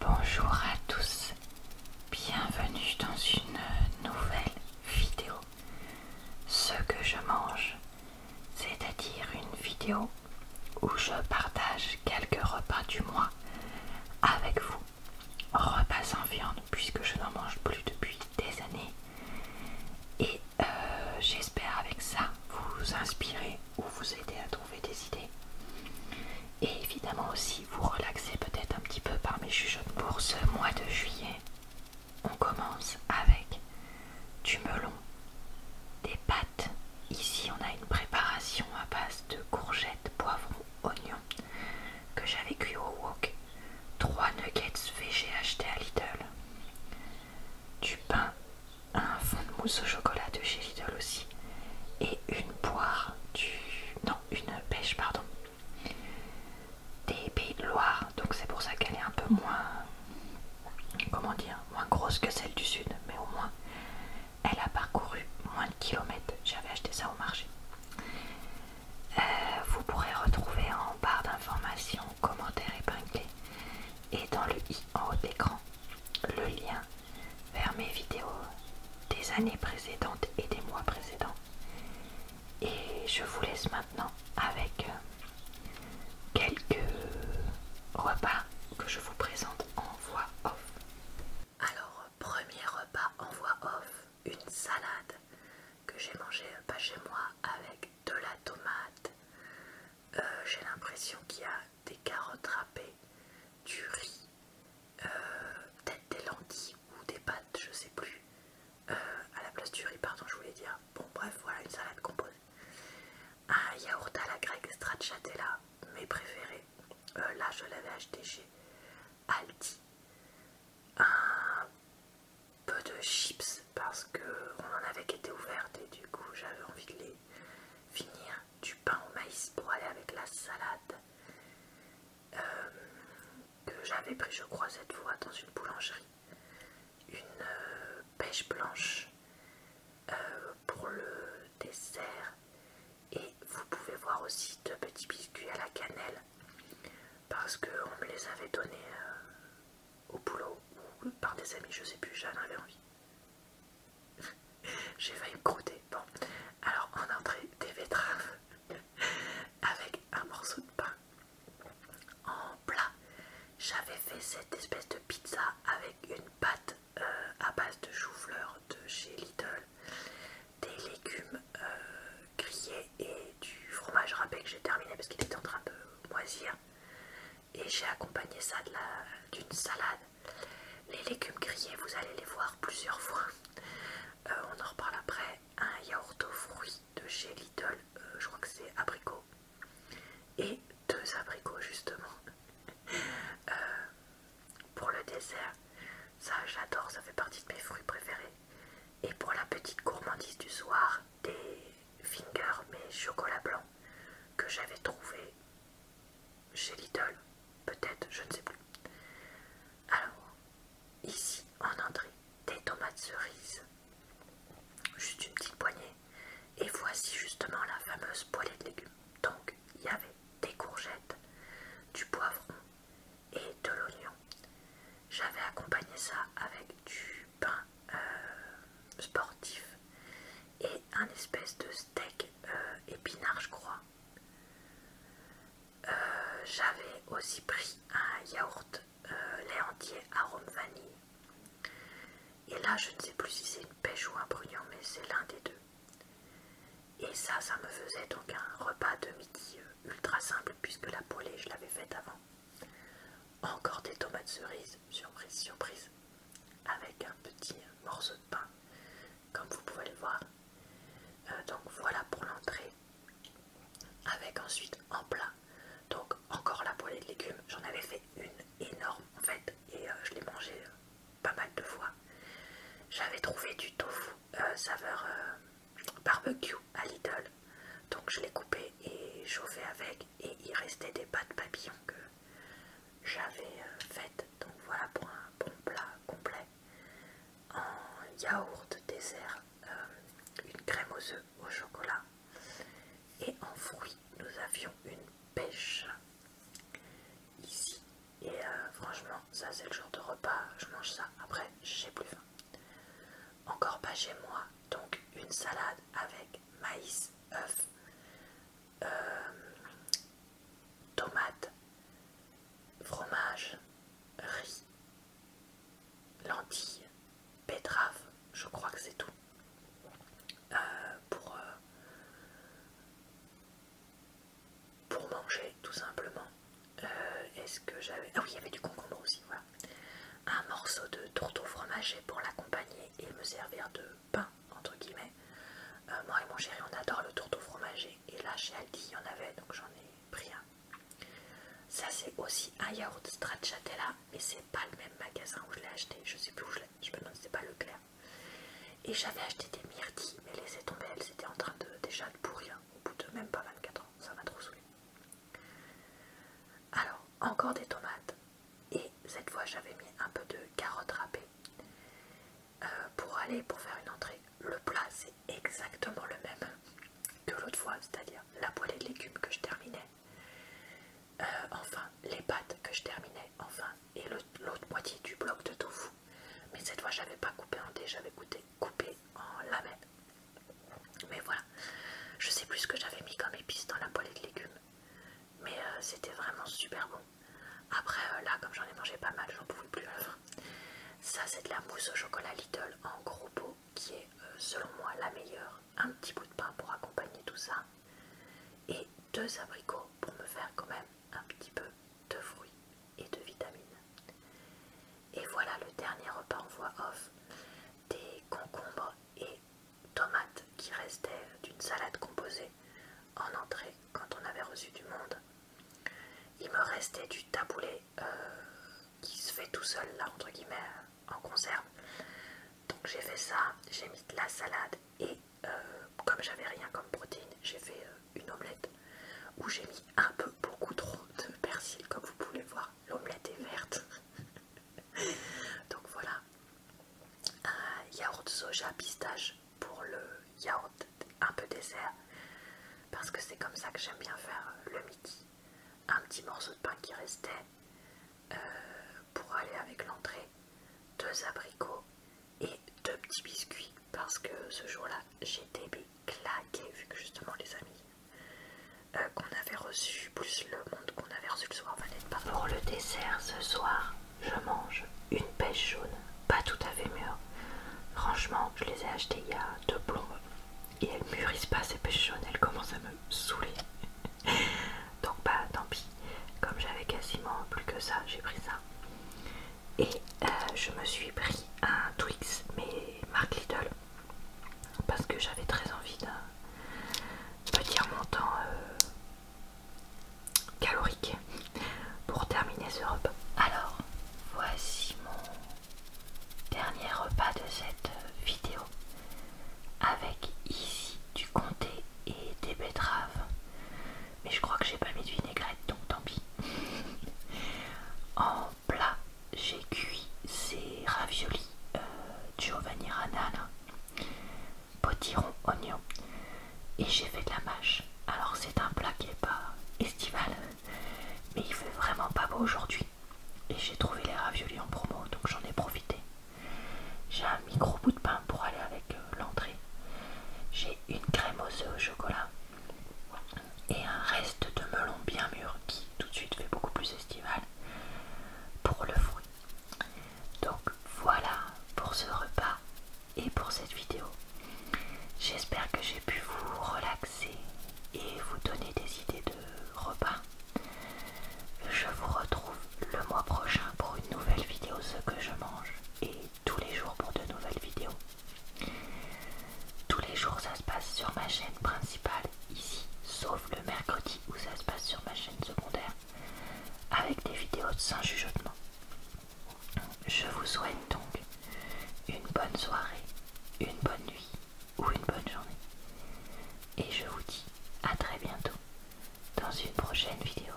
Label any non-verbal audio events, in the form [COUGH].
Bonjour à tous, bienvenue dans une nouvelle vidéo. Ce que je mange, c'est-à-dire une vidéo où je partage quelques repas du mois avec vous. Repas sans viande puisque je n'en mange plus depuis des années. Et euh, j'espère avec ça vous inspirer ou vous aider à trouver des idées et évidemment aussi vous relaxer peut-être un petit peu par mes chuchotes. Pour ce mois de juillet, on commence avec du melon, des pâtes. Ici, on a une préparation à base de courgettes, poivrons, oignons que j'avais cuit au wok. trois nuggets VG achetés à Lidl. Du pain un fond de mousse au chocolat de chez Lidl aussi et une poire du... non, une pêche, pardon des Pays de Loire, donc c'est pour ça qu'elle est un peu moins, comment dire, moins grosse que celle du sud, mais au moins elle a parcouru moins de kilomètres. J'avais acheté ça au marché. Euh, vous pourrez retrouver en barre d'informations, commentaires épinglés et dans le i en haut de le lien vers mes vidéos des années précédentes et des mois précédents. Et je vous laisse maintenant avec euh, quelques repas que je vous présente en voix off. Alors, premier repas en voix off, une salade que j'ai mangé euh, pas chez moi avec de la tomate, euh, j'ai l'impression qu'il y a des carottes râpées, du riz, euh, peut-être des lentilles ou des pâtes, je sais plus. Euh, à la place du riz, pardon, je voulais dire. Bon, bref, voilà une salade composée. Un yaourt à la grecque stracciatella, mes préférés. là, je l'avais acheté chez Aldi. Un peu de chips parce que on en avait été ouverte et du coup j'avais envie de les finir du pain au maïs pour aller avec la salade euh, que j'avais pris je crois cette fois dans une boulangerie une euh, pêche blanche euh, pour le dessert et vous pouvez voir aussi de petits biscuits à la cannelle parce que on me les avait donnés au boulot ou par des amis je sais plus j'en avais envie [LAUGHS] J'ai failli me croûter. Bon, alors en entrée, des betteraves [LAUGHS] avec un morceau de pain. En plat, j'avais fait cette espèce de pizza avec une pâte euh, à base de chou-fleur de chez Lidl, des légumes euh, grillés et du fromage râpé que j'ai terminé parce qu'il était en train de moisir et j'ai accompagné ça d'une salade. Les légumes grillés, vous allez les voir plusieurs fois. Euh, on en reparle après. Un yaourt aux fruits de chez Lidl, euh, je crois que c'est abricot. Et deux abricots justement. Euh, pour le dessert, ça j'adore, ça fait partie de mes fruits préférés. Et pour la petite gourmandise du soir, des fingers mais chocolat blanc que j'avais trouvé chez Lidl, peut-être, je ne sais plus. Alors, ici en entrée, des tomates cerises, juste une petite poignée, et voici justement la fameuse poêlée de légumes. Donc, il y avait des courgettes, du poivron et de l'oignon. J'avais accompagné ça avec du pain euh, sportif et un espèce de steak euh, épinard je crois. Euh, j'avais aussi pris un yaourt lait entier arôme vanille. Et là je ne sais plus si c'est une pêche ou un bruyant mais c'est l'un des deux. Et ça, ça me faisait donc un repas de midi ultra simple puisque la poêlée je l'avais faite avant. Encore des tomates cerises surprise, surprise, avec un petit morceau de pain, comme vous pouvez le voir. Euh, donc voilà pour l'entrée, avec ensuite en plat, donc encore la poêlée de légumes, j'en avais fait une énorme en fait, et euh, je l'ai mangée euh, pas mal de fois. J'avais trouvé du tofu saveur barbecue à l'idole donc je l'ai coupé et chauffé avec et il restait des pâtes papillons que j'avais euh, faites. Donc voilà pour un bon plat complet en yaourt dessert, euh, une crème aux œufs au chocolat et en fruits nous avions une pêche ici et euh, franchement ça c'est le jour de repas, je mange ça après j'ai plus faim. Encore pas chez moi donc une salade avec maïs, œufs, euh, tomates, fromage, riz, lentilles, betterave. je crois que c'est tout. Euh, pour, euh, pour manger tout simplement. Est-ce que j'avais... Ah oui, il y avait du concombre aussi, voilà un morceau de tourteau fromager pour l'accompagner et me servir de pain entre guillemets. Euh, moi et mon chéri on adore le tourteau fromager et là chez Aldi il y en avait donc j'en ai pris un. Ça c'est aussi un yaourt stracciatella mais c'est pas le même magasin où je l'ai acheté, je sais plus où je l'ai, je me demande si c'est pas Leclerc. Et j'avais acheté des myrtilles mais les tombées elles étaient en train de déjà de pourrir au bout de même pas 24 ans, ça m'a trop saoulé. Alors encore des tomates et cette fois j'avais mis un peu de carottes râpées euh, pour aller pour faire une entrée. Le plat c'est exactement le même que l'autre fois, c'est-à-dire la poêlée de légumes que je terminais, euh, enfin les pâtes que je terminais, enfin et l'autre moitié du bloc de tofu. Mais cette fois j'avais pas coupé en dés, j'avais coupé en lamelles. Mais voilà, je sais plus ce que j'avais mis comme épices dans la poêlée de légumes, mais euh, c'était vraiment super bon. Après, euh, là, comme j'en ai mangé pas mal, j'en pouvais plus à hein. Ça, c'est de la mousse au chocolat little en gros pot, qui est euh, selon moi la meilleure. Un petit bout de pain pour accompagner tout ça, et deux abricots pour me faire quand même un petit peu de fruits et de vitamines. Et voilà le dernier repas en voix off des concombres et tomates qui restaient d'une salade composée en entrée quand on avait reçu du monde. Il me restait du taboulet euh, qui se fait tout seul là entre guillemets en conserve. Donc j'ai fait ça, j'ai mis de la salade et euh, comme j'avais rien comme protéine, j'ai fait euh, une omelette où j'ai mis un peu beaucoup trop de persil comme vous pouvez le voir l'omelette est verte. [LAUGHS] Donc voilà. Un yaourt soja pistache pour le yaourt un peu dessert. Parce que c'est comme ça que j'aime bien faire le midi. Un petit morceau de pain qui restait euh, pour aller avec l'entrée. Deux abricots et deux petits biscuits. Parce que ce jour-là, j'étais bébé claqué vu que justement les amis euh, qu'on avait reçus, plus le monde qu'on avait reçu le soir va Pour le dessert ce soir, je mange une pêche jaune, pas tout à fait mûre. Franchement, je les ai achetées il y a deux plombes et elles mûrissent pas ces pêches jaunes, elles commencent à me saouler. [LAUGHS] Donc bah tant pis, comme j'avais quasiment plus que ça, j'ai pris ça. Et euh, je me suis pris un Twix, mais Mark little parce que j'avais très envie de, petit dire mon temps euh, calorique pour terminer ce repas. Alors, voici mon dernier repas de cette vidéo avec ici du comté et des betteraves. Mais je crois que j'ai pas mis de vinaigrette donc tant pis. [LAUGHS] plat, j'ai cuit ces raviolis euh, Giovanni potiron, oignon, et j'ai fait de la mâche. Alors c'est un plat qui n'est pas estival, mais il fait vraiment pas beau aujourd'hui. Et j'ai trouvé les raviolis en promo, donc j'en ai profité. J'ai un micro bout de pain pour aller avec euh, l'entrée. J'ai une crème œufs au chocolat et un reste de melon bien mûr qui tout de suite fait beaucoup plus estival pour le fruit. Donc voilà pour ce repas et pour cette vidéo. J'espère que j'ai pu vous relaxer et vous donner des idées de repas. Je vous retrouve le mois prochain pour une nouvelle vidéo ce que je mange et tous les jours pour de nouvelles vidéos. Tous les jours ça se passe sur ma chaîne principale ici, sauf le mercredi où ça se passe sur ma chaîne secondaire, avec des vidéos sans jugeotement. Je vous souhaite donc une bonne soirée, une bonne nuit ou une bonne journée. Et je vous dis à très bientôt dans une prochaine vidéo.